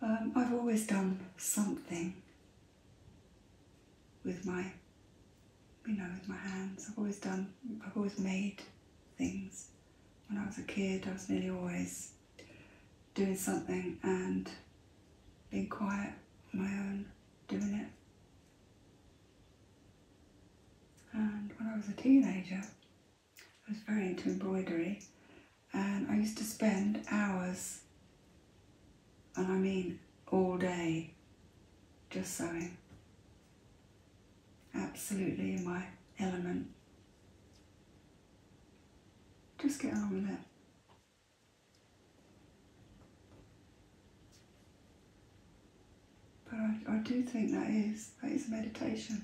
Um, I've always done something with my, you know, with my hands. I've always done, I've always made things. When I was a kid, I was nearly always doing something and being quiet on my own, doing it. And when I was a teenager, I was very into embroidery and I used to spend hours, and I mean all day, just sewing. Absolutely in my element. Just get on with it. But I, do think that is, that is meditation.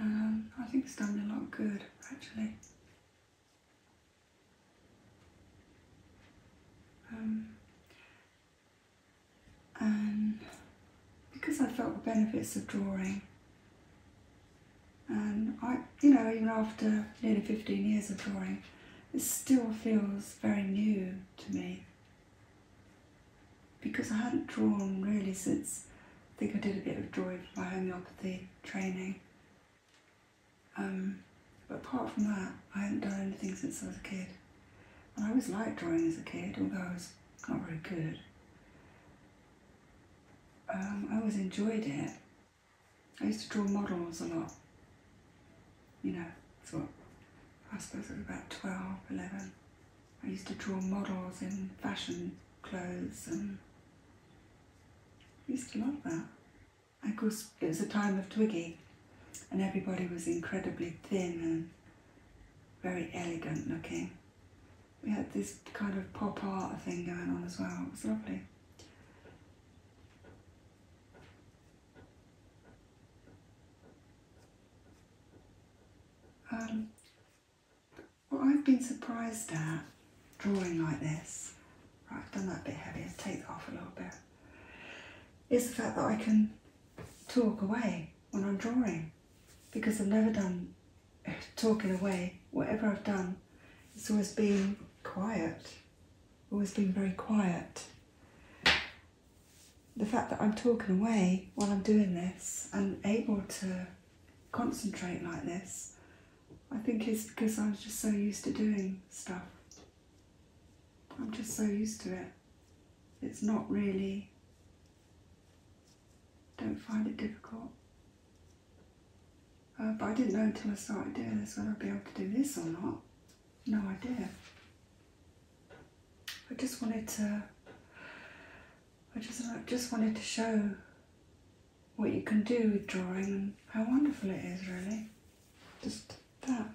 Um, I think it's done a lot good, actually. Um, and um, because I felt the benefits of drawing and I, you know, even after nearly 15 years of drawing, it still feels very new to me because I hadn't drawn really since, I think I did a bit of drawing for my homeopathy training. Um, but apart from that, I hadn't done anything since I was a kid. I always liked drawing as a kid, although I was not very good. Um, I always enjoyed it. I used to draw models a lot. You know, sort I suppose I was about 12, 11. I used to draw models in fashion clothes and I used to love that. Of course, it was a time of Twiggy, and everybody was incredibly thin and very elegant looking. We had this kind of pop art thing going on as well, it was lovely. Um, what I've been surprised at drawing like this, right, I've done that bit heavier, take that off a little bit, is the fact that I can Talk away when I'm drawing because I've never done talking away. Whatever I've done, it's always been quiet, always been very quiet. The fact that I'm talking away while I'm doing this and able to concentrate like this, I think is because I am just so used to doing stuff. I'm just so used to it. It's not really, don't find it difficult. Uh, but I didn't know until I started doing this whether I'd be able to do this or not. No idea. I just wanted to, I just, I just wanted to show what you can do with drawing and how wonderful it is really. Just that.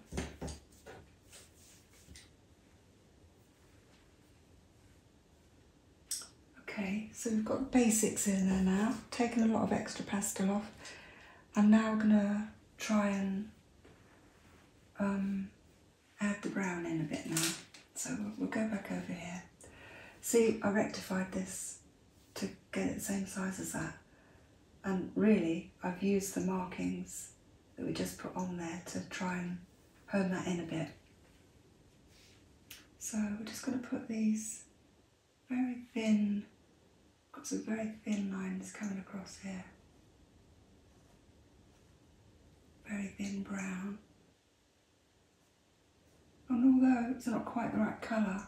Okay, so we've got the basics in there now, taken a lot of extra pastel off. I'm now gonna try and um, add the brown in a bit now. So we'll go back over here. See, I rectified this to get it the same size as that and really I've used the markings that we just put on there to try and hone that in a bit. So we're just going to put these very thin, got some very thin lines coming across here. Very thin brown. And although it's not quite the right colour,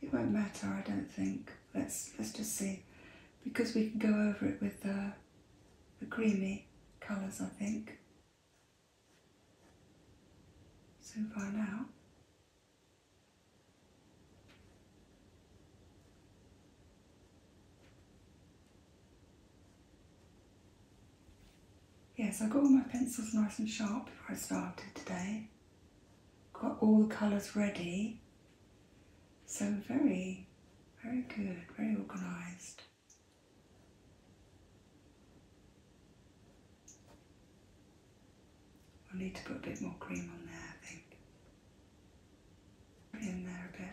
it won't matter, I don't think. Let's let's just see, because we can go over it with the uh, the creamy colours, I think. So far now. Yes, I got all my pencils nice and sharp before I started today got all the colours ready. So very, very good, very organised. We'll need to put a bit more cream on there, I think. in there a bit.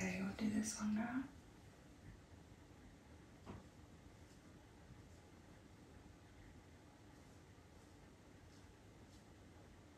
Okay, we'll do this one now.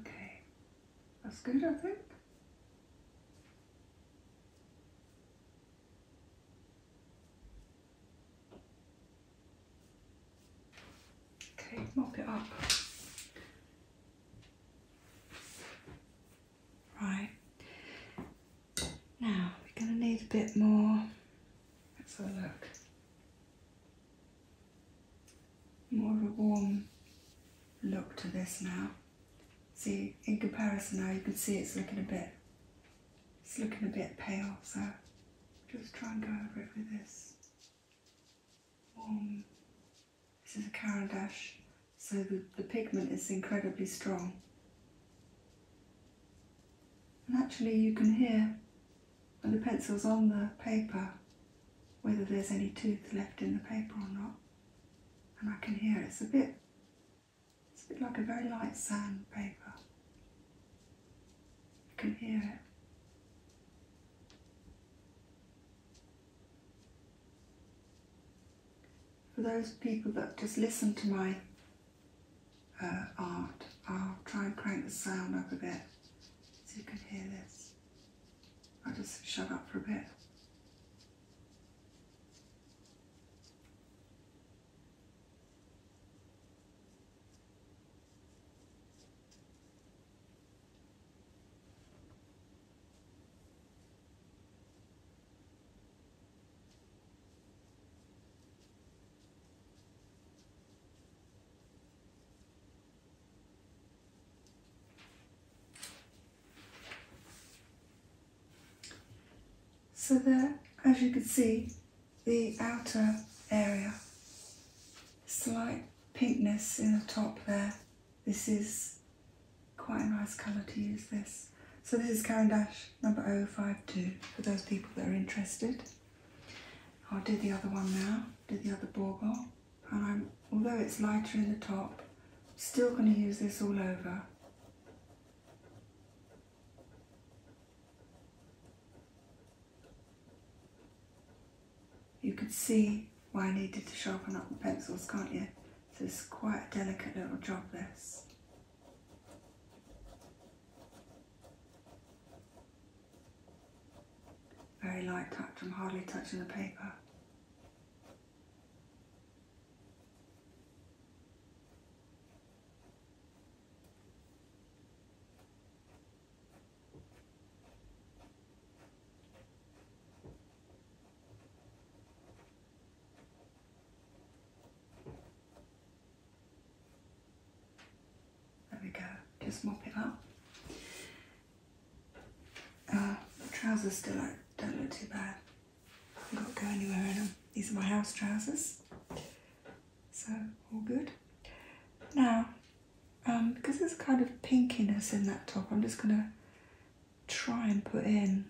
Okay, that's good, I think. Okay, mop it up. Right, now we're going to need a bit more. Let's have a look. More of a warm look to this now. See, in comparison now, you can see it's looking a bit, it's looking a bit pale, so just try and go over it with this this is a dash, so the, pigment is incredibly strong. And actually you can hear when the pencil's on the paper whether there's any tooth left in the paper or not. And I can hear it's a bit it's a bit like a very light sandpaper. I can hear it. For those people that just listen to my uh, art, I'll try and crank the sound up a bit so you can hear this. I'll just shut up for a bit. So there, as you can see, the outer area. Slight pinkness in the top there. This is quite a nice colour to use this. So this is Caran Dash number 052 for those people that are interested. I'll do the other one now, do the other bauble. And I'm, although it's lighter in the top, still going to use this all over. You can see why I needed to sharpen up the pencils, can't you? So it's quite a delicate little job this. Very light touch, I'm hardly touching the paper. There we go, just mop it up. Uh, trousers still don't look too bad. I haven't got go anywhere in them. These are my house trousers so all good. Now, um, because there's kind of pinkiness in that top, I'm just going to try and put in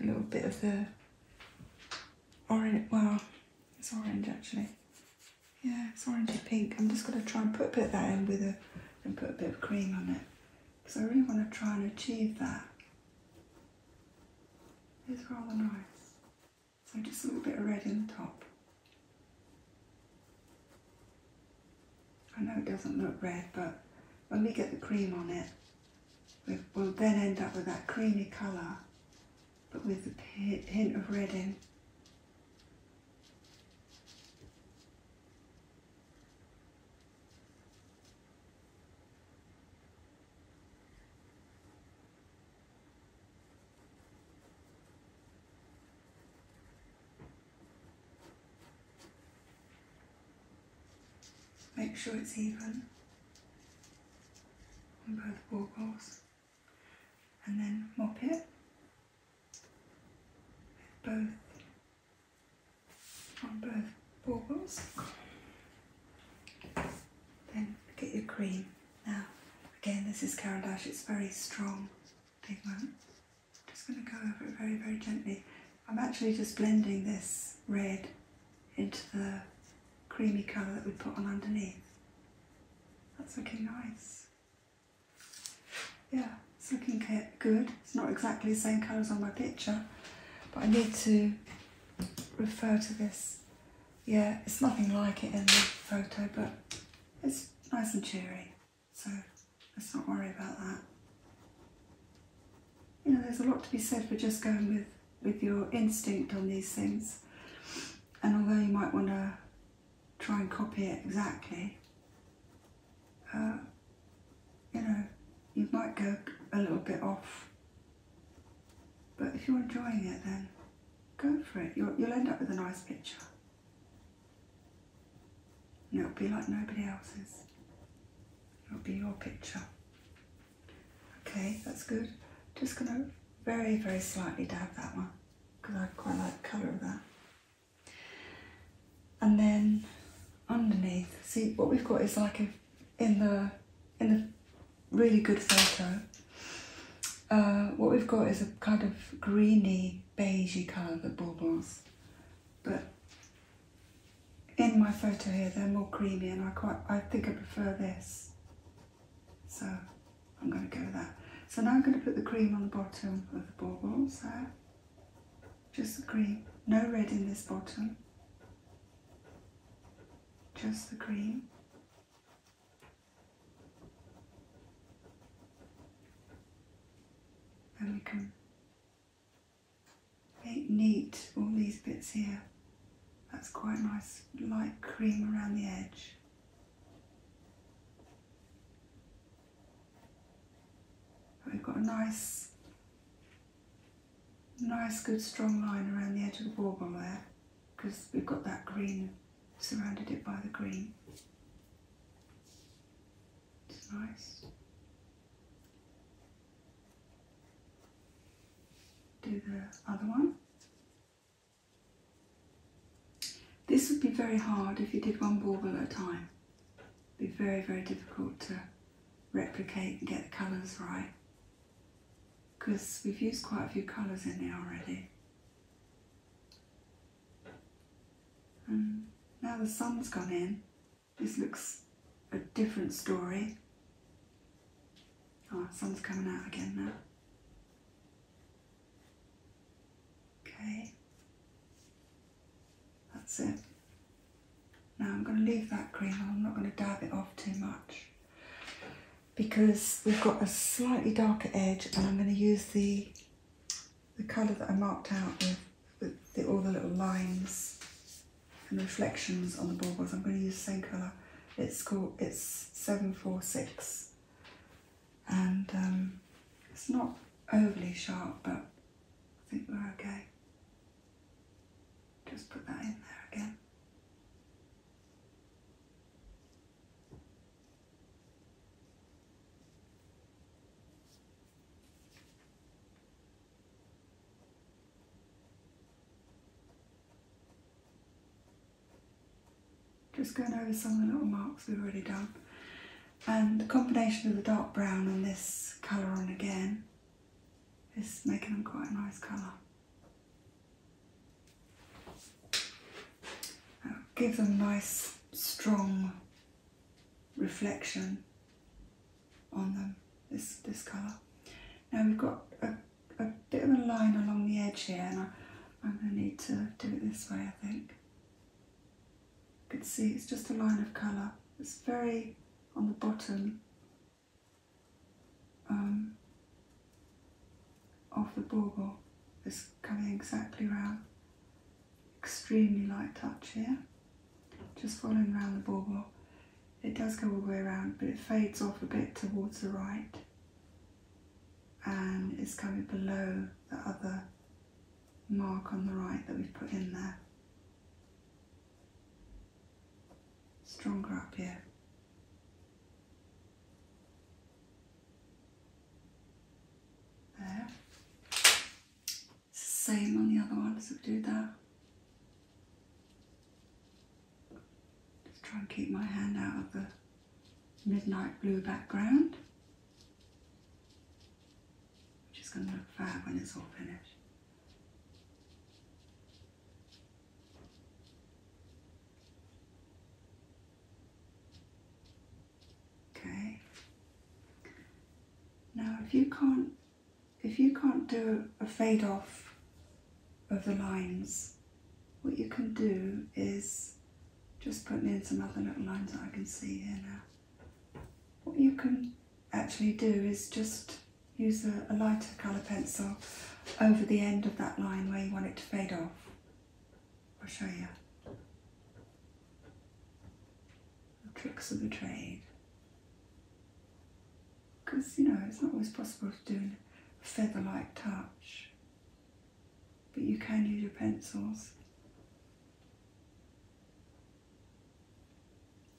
a little bit of the orange, well, it's orange actually. Yeah, it's orangey pink. I'm just going to try and put a bit that in with a, and put a bit of cream on it. Because I really want to try and achieve that. It's rather nice. So just a little bit of red in the top. I know it doesn't look red, but when we get the cream on it, we'll then end up with that creamy colour, but with a hint of red in. Make sure it's even on both baubles and then mop it with both on both baubles then get your cream. Now, again, this is Carol Dash, it's very strong, big one. just going to go over it very, very gently. I'm actually just blending this red into the creamy colour that we put on underneath. That's looking nice. Yeah, it's looking good. It's not exactly the same colour as on my picture, but I need to refer to this yeah, it's nothing like it in the photo, but it's nice and cheery, so let's not worry about that. You know, there's a lot to be said for just going with, with your instinct on these things, and although you might want to try and copy it exactly, uh, you know, you might go a little bit off but if you're enjoying it, then go for it. You'll, end up with a nice picture. And it'll be like nobody else's. It'll be your picture. Okay, that's good. Just going to very, very slightly dab that one because I quite like the colour of that. And then underneath, see what we've got is like a in the in the really good photo. Uh, what we've got is a kind of greeny, beigey colour that baubles, but in my photo here they're more creamy and I quite I think I prefer this. So I'm going to go with that. So now I'm going to put the cream on the bottom of the baubles there. Just the cream, no red in this bottom just the cream. And we can make neat all these bits here. That's quite nice light cream around the edge. we've got a nice Nice good strong line around the edge of the bourbon there because we've got that green, surrounded it by the green. It's nice. Do the other one. This would be very hard if you did one bauble at a time. be very, very difficult to replicate and get the colours right because we've used quite a few colours in there already. And um, now the sun's gone in, this looks a different story. Oh, sun's coming out again now. Okay, that's it. Now I'm going to leave that green. I'm not going to dab it off too much because we've got a slightly darker edge and I'm going to use the the colour that I marked out with, all the little lines and reflections on the baubles. I'm going to use the same colour. It's called, it's 746 and um, it's not overly sharp but I think we're okay. Just put that in there again. Just going over some of the little marks we've already done. And the combination of the dark brown and this colour on again is making them quite a nice colour give them nice strong reflection on them, this, this colour. Now we've got a, bit of a line along the edge here and I, I'm going to need to do it this way I think. You can see it's just a line of colour. It's very on the bottom um, of the bauble is coming exactly round. Extremely light touch here, just following round the bauble. It does go all the way around, but it fades off a bit towards the right and is coming below the other mark on the right that we've put in there stronger up here. There. Same on the other one, so do that. Just try and keep my hand out of the midnight blue background. Which is going to look fab when it's all finished. Okay. Now if you can't if you can't do a fade off of the lines, what you can do is just putting in some other little lines that I can see here now. What you can actually do is just use a, lighter colour pencil over the end of that line where you want it to fade off. I'll show you the tricks of the trade. Because, you know, it's not always possible to do a feather-like touch. But you can use your pencils.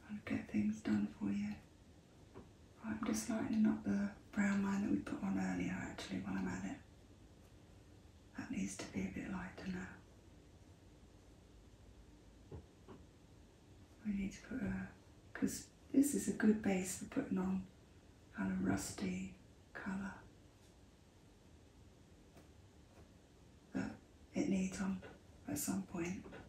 I'll get things done for you. I'm just lightening up the brown line that we put on earlier actually while I'm at it. That needs to be a bit lighter now. We need to put a, because this is a good base for putting on kind of rusty colour that it needs on at some point.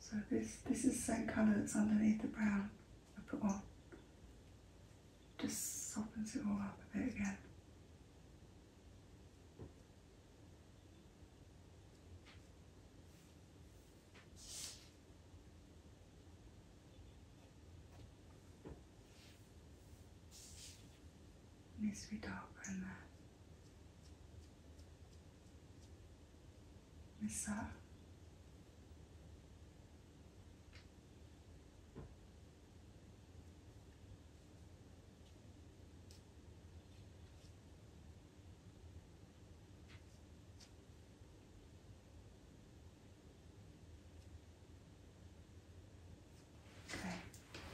So this, this is the same colour that's underneath the brown I put on. Just softens it all up a bit again needs to be darker in there. Miss that. Okay,